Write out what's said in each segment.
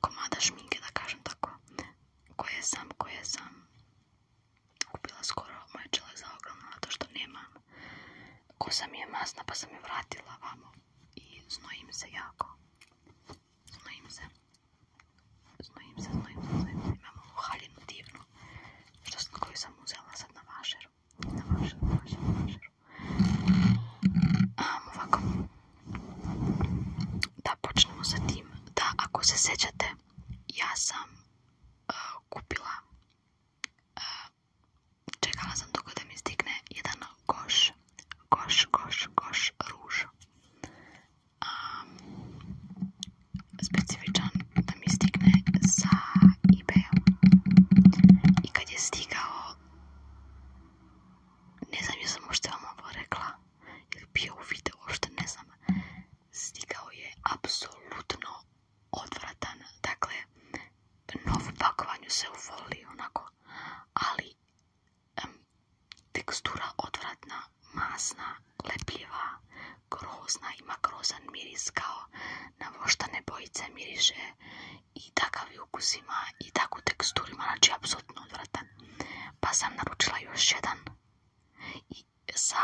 komada šminke, da kažem tako, koje sam, koje sam kupila skoro, moj čelak za ogromno, zato što nemam. Kosa mi je masna, pa sam je vratila vamo i znojim se jako. Znojim se. Znojim se, znojim se, znojim se. Imam ovu haljinu divnu, što sam, koju sam uzela sad na vašeru. Na vašeru, na vašeru, na vašeru. ovako, da počnemo sa tim. Da, ako se sjećate, ja sam e, kupila, e, čekala sam dugo da mi stigne jedan koš koš, koš, koš ruž. specifičan da mi stigne sa ebay I kad je stigao, ne znam, ja sam možda vam ovo rekla ili bio u video, što ne znam, stigao je apsolutno odvratan, dakle, novu pakovanju se uvoli, onako, ali tekstura odvratna, masna, lepljiva, grozna, ima grozan miris kao na voštane bojice miriše i takav ukus ima i takvu teksturu znači apsolutno odvratan pa sam naručila još jedan i sa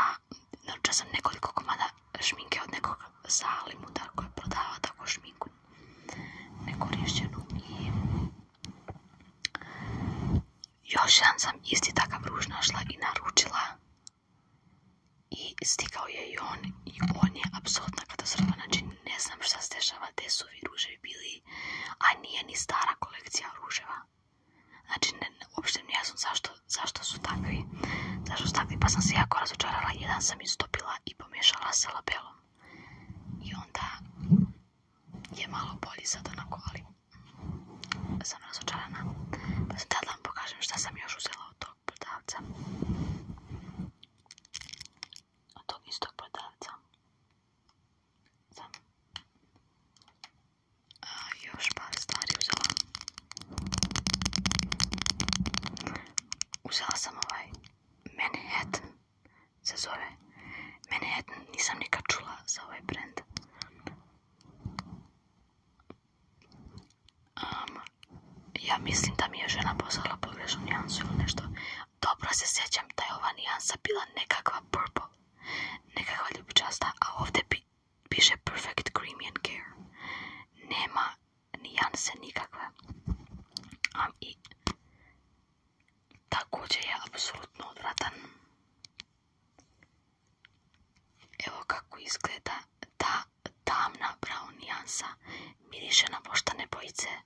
naručila sam nekoliko komada šminke od nekog sa limuda koji prodava tako šminku nekorišćenu i još jedan sam isti takav ruž našla i naručila i stigao je i on i on je apsolutna katastrofa, znači ne znam šta se dešava, te su vi ruževi bili a nije ni stara kolekcija ruževa. Znači, ne, uopšte jasno zašto, su takvi. Zašto su takvi, pa sam se jako razočarala. Jedan sam istopila i pomiješala sa labelom. I onda je malo bolji sad onako, ali sam razočarana. Pa sam vam pokažem šta sam još uzela od tog podavca Od tog istog prodavca a, još par stvari uzela. Uzela sam ovaj Manhattan, se zove Manhattan, nisam nikad čula za ovaj brand. ja mislim da mi je žena poslala pogrešnu nijansu ili nešto. Dobro se sjećam da je ova nijansa bila nekakva purple. Nekakva ljubičasta, a ovdje piše Perfect Creamy Care. Nema nijanse nikakve. I također je apsolutno odvratan. Evo kako izgleda ta tamna brown nijansa. Miriše na poštane bojice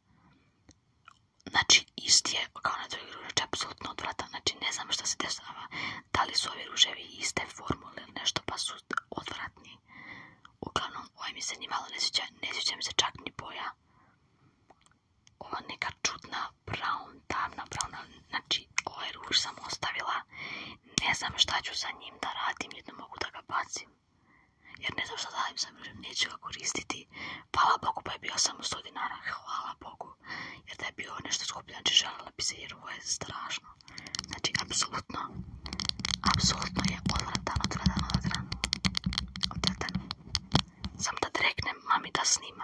znači isti je kao na drugi ružeč, apsolutno odvratan, znači ne znam što se dešava, da li su ovi ruževi iste formule ili nešto pa su odvratni. Uglavnom, ovaj mi se ni malo ne sviđa, mi se čak ni boja. Ova neka čudna brown, tamna brown, znači ovaj ruž sam ostavila, ne znam šta ću sa njim da radim, jedno mogu da ga bacim. Jer ne znam šta da radim sa neću ga koristiti, Hvala Bogu pa je bio samo 100 dinara, hvala Bogu. Jer da je bio nešto skuplje, znači željela bi se jer ovo je strašno. Znači, apsolutno, apsolutno je odvratan, odvratan, odvratan. Odvratan. Sam da reknem mami da snima.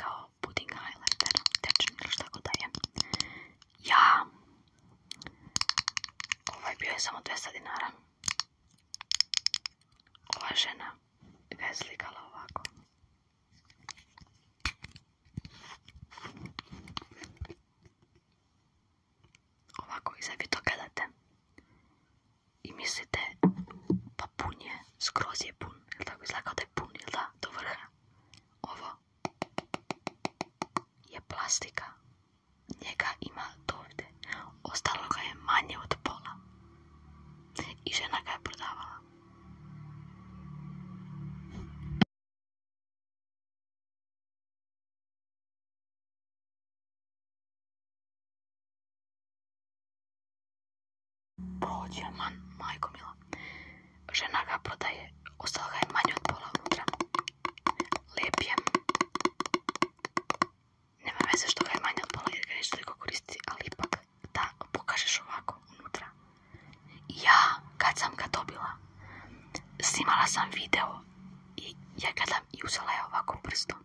kao pudding highlighter, tečan ili šta god da je. Ja, ovaj bio je samo 200 dinara. Ova žena ga je slikala ovako. Ovako, i sad gledate i mislite pa pun je, skroz je pun, jel tako izgleda kao da je da, do vrha. Ovo je plastika, njega ima dovdje. ostalo ga je manje od pola i žena ga je prodavala. Prođe man, majko mila. Žena ga prodaje, ostala je manje od pola unutra. Lijep je. Nema veze što ga je manje od pola jer ga koristi, ali ipak da pokažeš ovako unutra. Ja, kad sam ga dobila, snimala sam video i ja i uzela je ovako prstom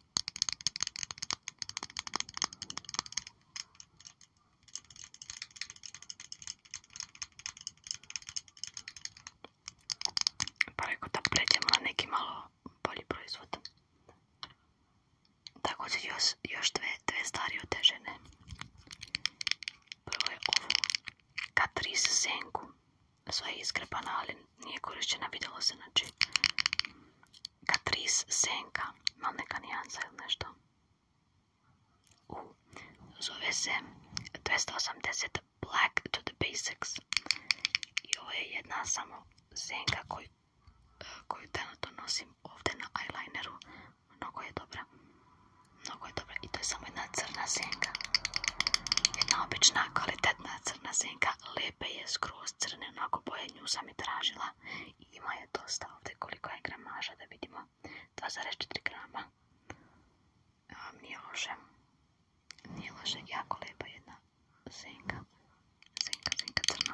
Pa rekao da pređemo na neki malo bolji proizvod. Tak su još, još dve, stvari od Prvo je ovo. Katris Senku. Sva je iskrepana, ali nije korišćena, vidjelo se, znači Katris senka, Mam neka nijansa nešto. U, zove se 280 Black to the Basics. I ovo je jedna samo senka koju, koju trenutno nosim ovdje na eyelineru. Mnogo je dobra. Mnogo je dobra. I to je samo jedna crna senka. Jedna obična, kvalitetna crna senka. Lepe je skroz crne, mnogo boje nju sam i tražila i ima je dosta ovdje koliko je gramaža da vidimo 2,4 grama um, nije loše nije loše, jako lijepa jedna senka senka, senka crna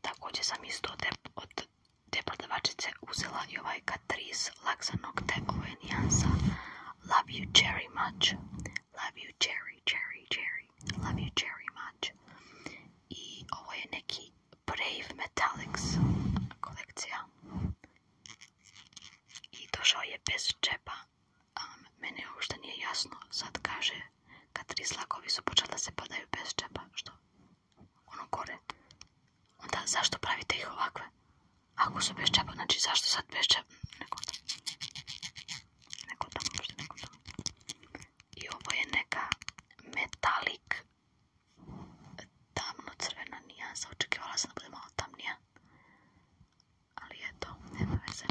Također sam isto od te debladačice uzela i ovaj Catrice Laksa Nocte, ovo je nijansa Love You Cherry Much, Love You Cherry, Cherry, Cherry, Love You Cherry Much i ovo je neki Brave Metallics kolekcija i došao je bez čepa, mene uopšte nije jasno, sad kaže kad tri slakovi su počeli da se padaju bez čepa, što? Ono gore. Onda zašto pravite ih ovakve? Ako su bez čepa, znači zašto sad bez čepa? Neko tamo. Neko tamo, možda neko tamo. I ovo je neka metalik tamno crvena nijansa. Očekivala sam da bude malo tamnija. Ali eto, nema veze.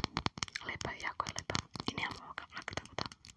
Lepa je, jako je lepa. I nemam ovoga vlaka, tako da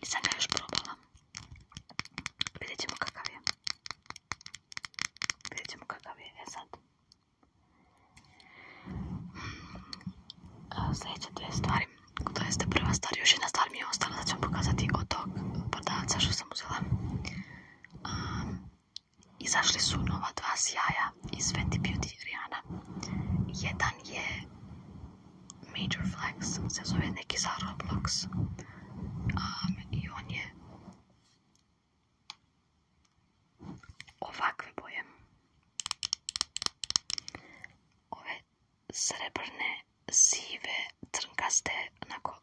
И сама уж пробовала перед этим какави. Перед этим какави вязать. За эти две истории to jeste prva stvar, još jedna stvar mi je ostala, da ću vam pokazati od tog prodavca što sam uzela. Um, izašli su nova dva sjaja iz Fenty Beauty Rihanna. Jedan je Major Flex, se zove neki za Roblox. I on je ovakve boje srebrne, sive, crnkaste, onako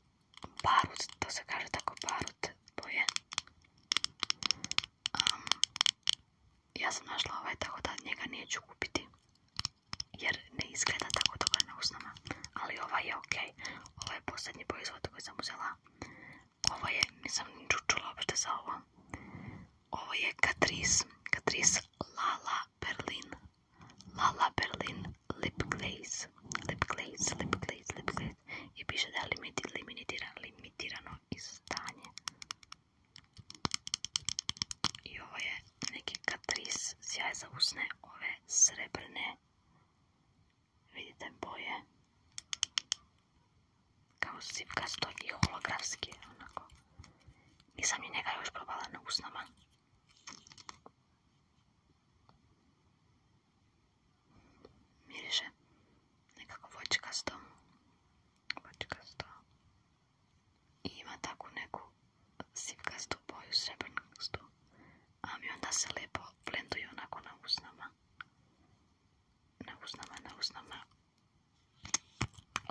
barut, to se kaže tako barut boje. ja sam našla ovaj, tako da njega neću kupiti jer ne izgleda tako dobro na usnama, ali ovaj je ok. Ovo je posljednji proizvod koji sam uzela. Ovo je, nisam čučula uopšte za ovo. Ovo je Catrice, Catrice Lala Berlin, Lala Berlin Lip Glaze, Lip Glaze, Lip Glaze, Lip Glaze i piše da je limitiran, limitirano izdanje. I ovo je neki katris sjaj za usne, ove srebrne, vidite boje, kao sivkasto i holografski, onako. Nisam ni njega još probala na usnama. Miriše nekako voćkasto. Voćkasto. I ima takvu neku sivkastu boju, srebrnkastu. A mi onda se lijepo blenduju onako na usnama. Na usnama, na usnama.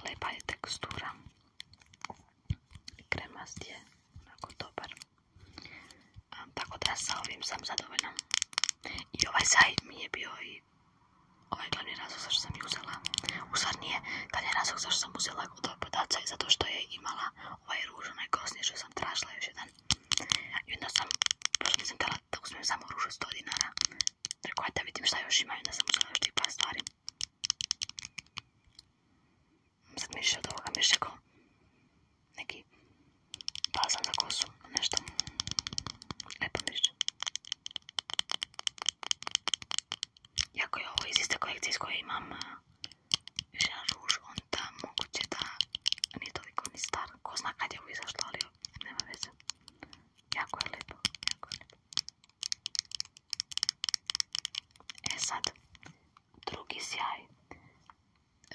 Lepa je tekstura kremast je onako dobar tako da sa ovim sam zadovoljna i ovaj sajt mi je bio i ovaj glavni razlog zašto sam ju uzela u stvar nije glavni razlog zašto sam uzela od ove je zato što je imala ovaj ruž onaj gosni što sam tražila još jedan i onda sam pošto nisam htjela da uzmem samo ruž 100 dinara rekao da vidim šta još ima i onda sam uzela još tih stvari sad miriše od ovoga, miriše kao neki bazan za kosu, nešto. Lepo miriše. Jako je ovo iz iste kolekcije iz koje imam više jedan ruž, onda moguće da nije toliko ni star. Ko zna kad je ovo izašlo, ali nema veze. Jako je lijepo, jako je lepo. E sad, drugi sjaj,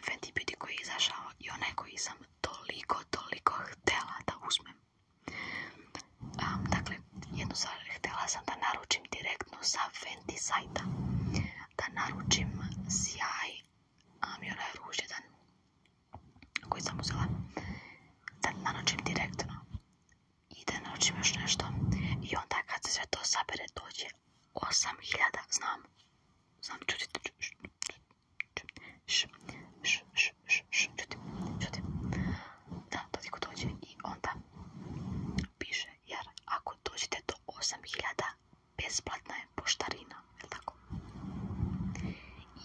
Fenty Beauty koji je izašao i onaj koji sam toliko, toliko htjela da uzmem. dakle, jednu stvar htjela sam da naručim direktno sa Fenty sajta. Da naručim sjaj a i onaj koji sam uzela. Da naručim direktno i da naučim još nešto. I onda kad se sve to sabere dođe 8000, znam. Znam, čutite, čutite, čutite, čutite. Da, toliko dođe i onda piše, jer ako dođete do 8000, besplatna je poštarina, jel tako?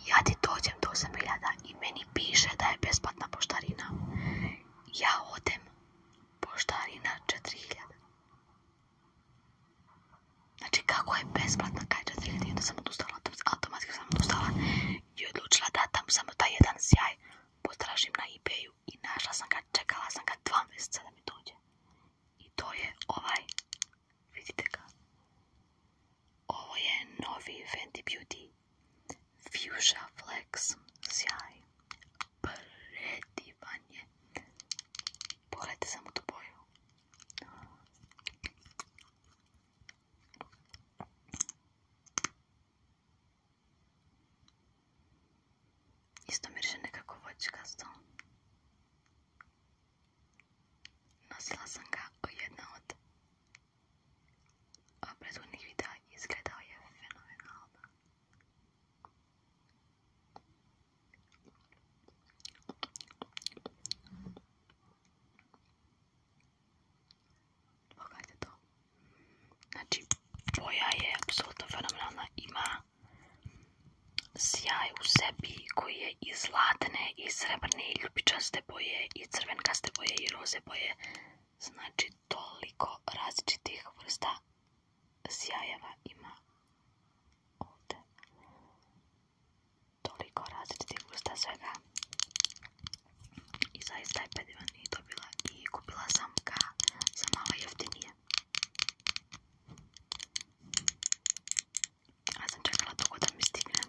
Ja ti dođem do 8000 i meni piše da je besplatna poštarina. Ja odem, poštarina 4000. Znači kako je besplatna ka 4000 i onda sam odustala, automatski sam odustala i odlučila da tam samo taj jedan sjaj potražim na ebayu i našla sam ga, čekala sam ga dva mjeseca da mi dođe. I to je ovaj, vidite ga, ovo je novi Fenty Beauty Fuchsia Flex, sjaj, predivan je. Pogledajte samo tu boju. Isto mirše nekako voćkasto. Nosila sam ga u jedna od prethodnih videa i izgledao je fenomenalno. Pogledajte to. Znači, boja je apsolutno fenomenalna. Ima sjaj u sebi koji je i zlatne, i srebrne, i ljubičaste boje, i crvenkaste boje, i roze boje. Znači, toliko različitih vrsta sjajeva ima ovde toliko različitih vrsta svega i zaista je pedivan i dobila i kupila sam ga za malo jeftinije a sam čekala da mi stigne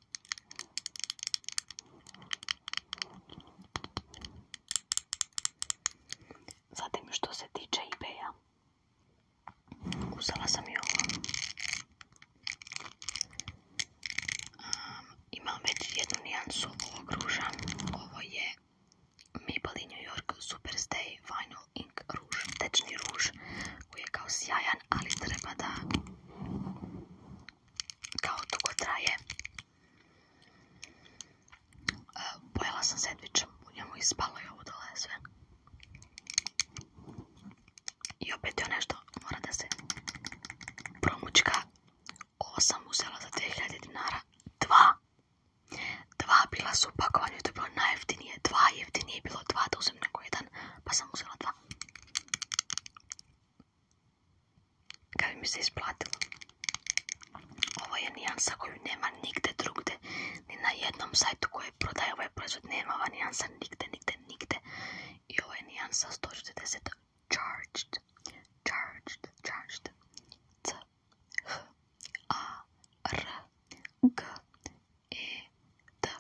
Zatim što se tiče eBaya, kusala sam je ovo. imam već jednu nijansu ovog ruža. Ovo je Maybelline New York Superstay Vinyl Ink ruž. Tečni ruž koji je kao sjajan, ali treba da kao dugo traje. E, pojela sam sandvičem, u njemu ispalo i ovo dole sve. I opet je nešto, mora da se promučka. Ovo sam uzela za 2000 dinara. Dva. Dva bila su upakovanja, to je bilo najjeftinije. Dva jeftinije je bilo dva, da uzem nego jedan, pa sam uzela dva. Kad mi se isplatilo. Ovo je nijansa koju nema nigde drugde. Ni na jednom sajtu koji prodaje ovaj proizvod nema ova nijansa nigde, nigde, nigde. I ovo je nijansa 140 charged. Charged, charged. C, H, A, R, G, E, D,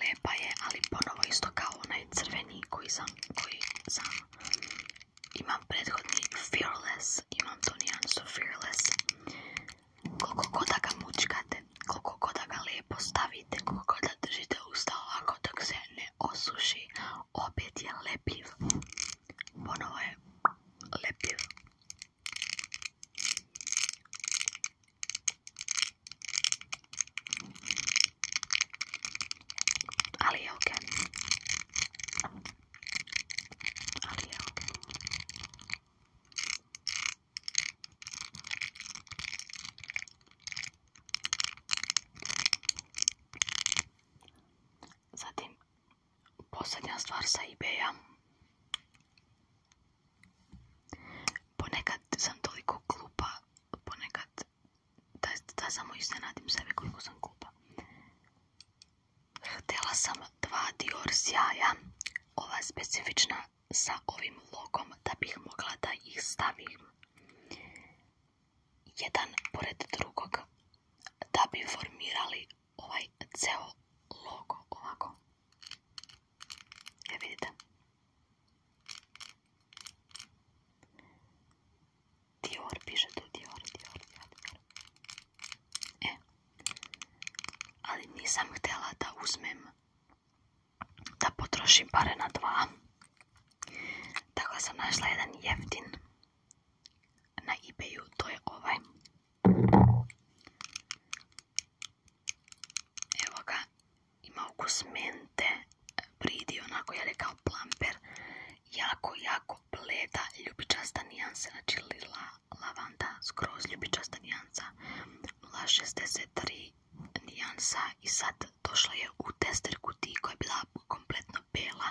Lepa je, ali ponovo isto kao onaj crveni koji sam, koji sam. Imam prethodni Fearless, imam to nijansu Fearless. Koliko god da ga mučkate, koliko god da ga lijepo stavite, koliko god da držite usta ovako dok se ne osuši, opet je lepiv Ponovo je lepiv Alijoken. Alijoken. Zatim posljednja stvar sa ebaya. Ponekad sam toliko glupa, ponekad da, da samo iznenadim sebe koliko sam glupa. Htjela sam dva Dior sjaja, ova specifična sa ovim logom, da bih mogla da ih stavim jedan pored drugog, da bi formirali ovaj ceo logo ovako. Dior, piše tu Dior, Dior, E. Ali nisam htjela da uzmem, da potrošim pare na dva. Tako sam našla jedan jeftin na ebayu, to je ovaj. Evo ga, ima ukus mente, bridi onako, ja rekao plamper, jako, jako bleda, ljubičasta nijansa, znači lila lavanda, skroz ljubičasta nijansa, 63 nijansa i sad došla je u tester kutiji koja je bila kompletno bela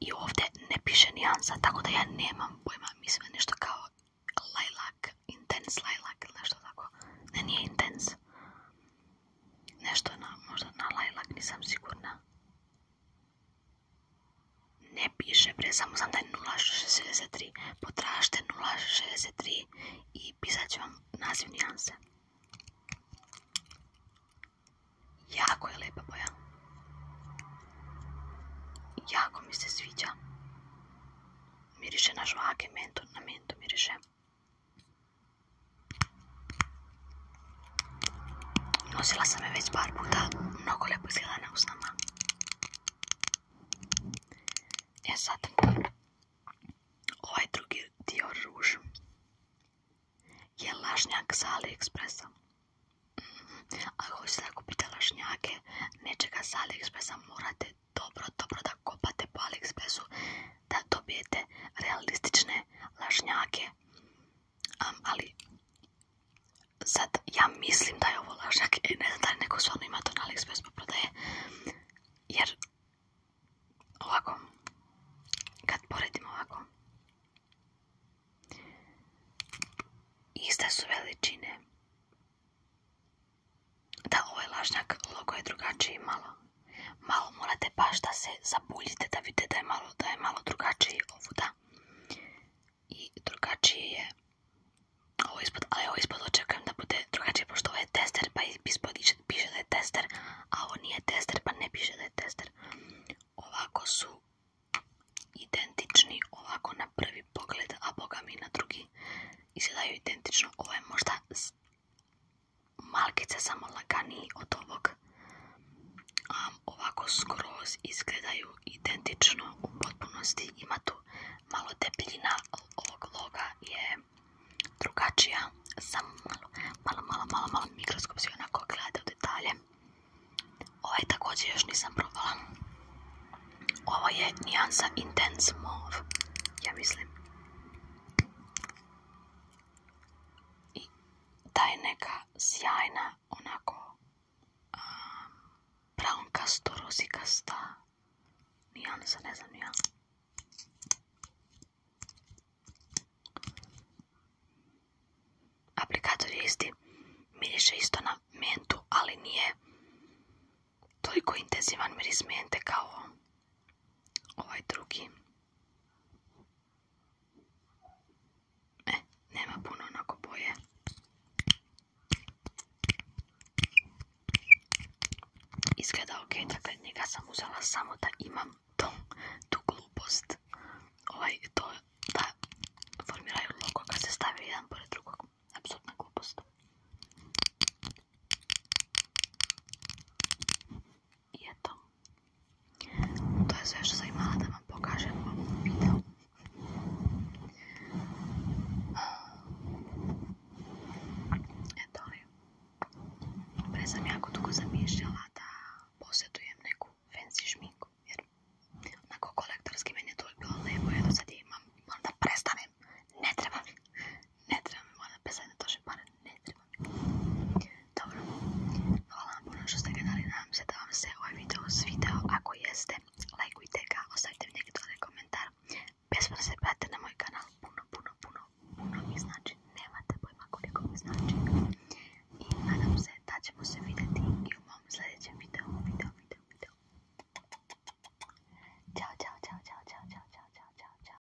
i ovdje ne piše nijansa, tako da ja nemam pojma, mislim nešto kao lilac, intense lilac ili nešto tako, ne nije intense, Nešto na, možda na lajlak, nisam sigurna. Ne piše, pre samo znam da je 0.63. Potražite 0.63 i pisat ću vam naziv nijanse. Jako je lepa boja. Jako mi se sviđa. Miriše na žvake, mento, na mento miriše. Nosila sam je već par puta, mnogo lijepo izgleda na usnama. E sad, ovaj drugi dio ruž je lažnjak sa AliExpressa. Mhm. Ako hoćete da kupite lažnjake nečega sa AliExpressa morate dobro, dobro da kopate po Aliexpressu da dobijete realistične lažnjake. ali sad ja mislim da je ovo lažnjak i e, ne da li neko stvarno ima to na Aliexpressu pa Jer ovako, kad poredim ovako, iste su veličine da, ovaj lažnjak logo je drugačiji malo. Malo morate baš da se zabuljite da vidite da je malo, da je malo drugačiji ovuda. I drugačiji je ovo ispod, ali ovo ispod očekujem da bude drugačije, pošto ovo je tester, pa ispod piše da je tester, a ovo nije tester, pa ne piše da je tester. Ovako su identični, ovako na prvi pogled, a boga mi na drugi izgledaju identično. Ovo je možda malkice samo laganiji od ovog. ovako skroz izgledaju identično u potpunosti. Ima tu malo debljina ovog loga je drugačija. Samo malo, malo, malo, malo, mikroskop onako gleda u detalje. Ovaj također još nisam probala. Ovo je nijansa Intense Mauve, ja mislim i ta je neka sjajna, onako brown brankasto, rozikasta nijansa, ne znam ja. Aplikator je isti, miriše isto na mentu, ali nije toliko intenzivan miris mente kao ovaj drugi e, nema puno onako boje izgleda ok, dakle njega sam uzela samo da imam to, tu glupost ovaj, to da formiraju logo kad se stavi jedan pored drugog apsolutna glupost i eto. To je sve što sam imala da vam pokažem u ovom videu. Eto li. Pre sam jako dugo zamišljala da posjedujem neku fancy šminku. Jer onako kolektorski meni je to bilo lepo. sad imam. Moram da prestanem. Ne trebam ne trebam, mi voda bez jedne pare, ne treba Dobro, hvala vam puno što ste gledali, nadam se da vam se ovaj video svidao, ako jeste, lajkujte ga, ostavite mi neki dodatni komentar, bez da se pratite na moj kanal, puno, puno, puno, puno mi znači, nemate pojma koliko mi znači. I nadam se da ćemo se vidjeti i u mom sljedećem videu, video, video, video. Ćao, čao, čao, čao, čao, čao, čao, čao, čao, čao.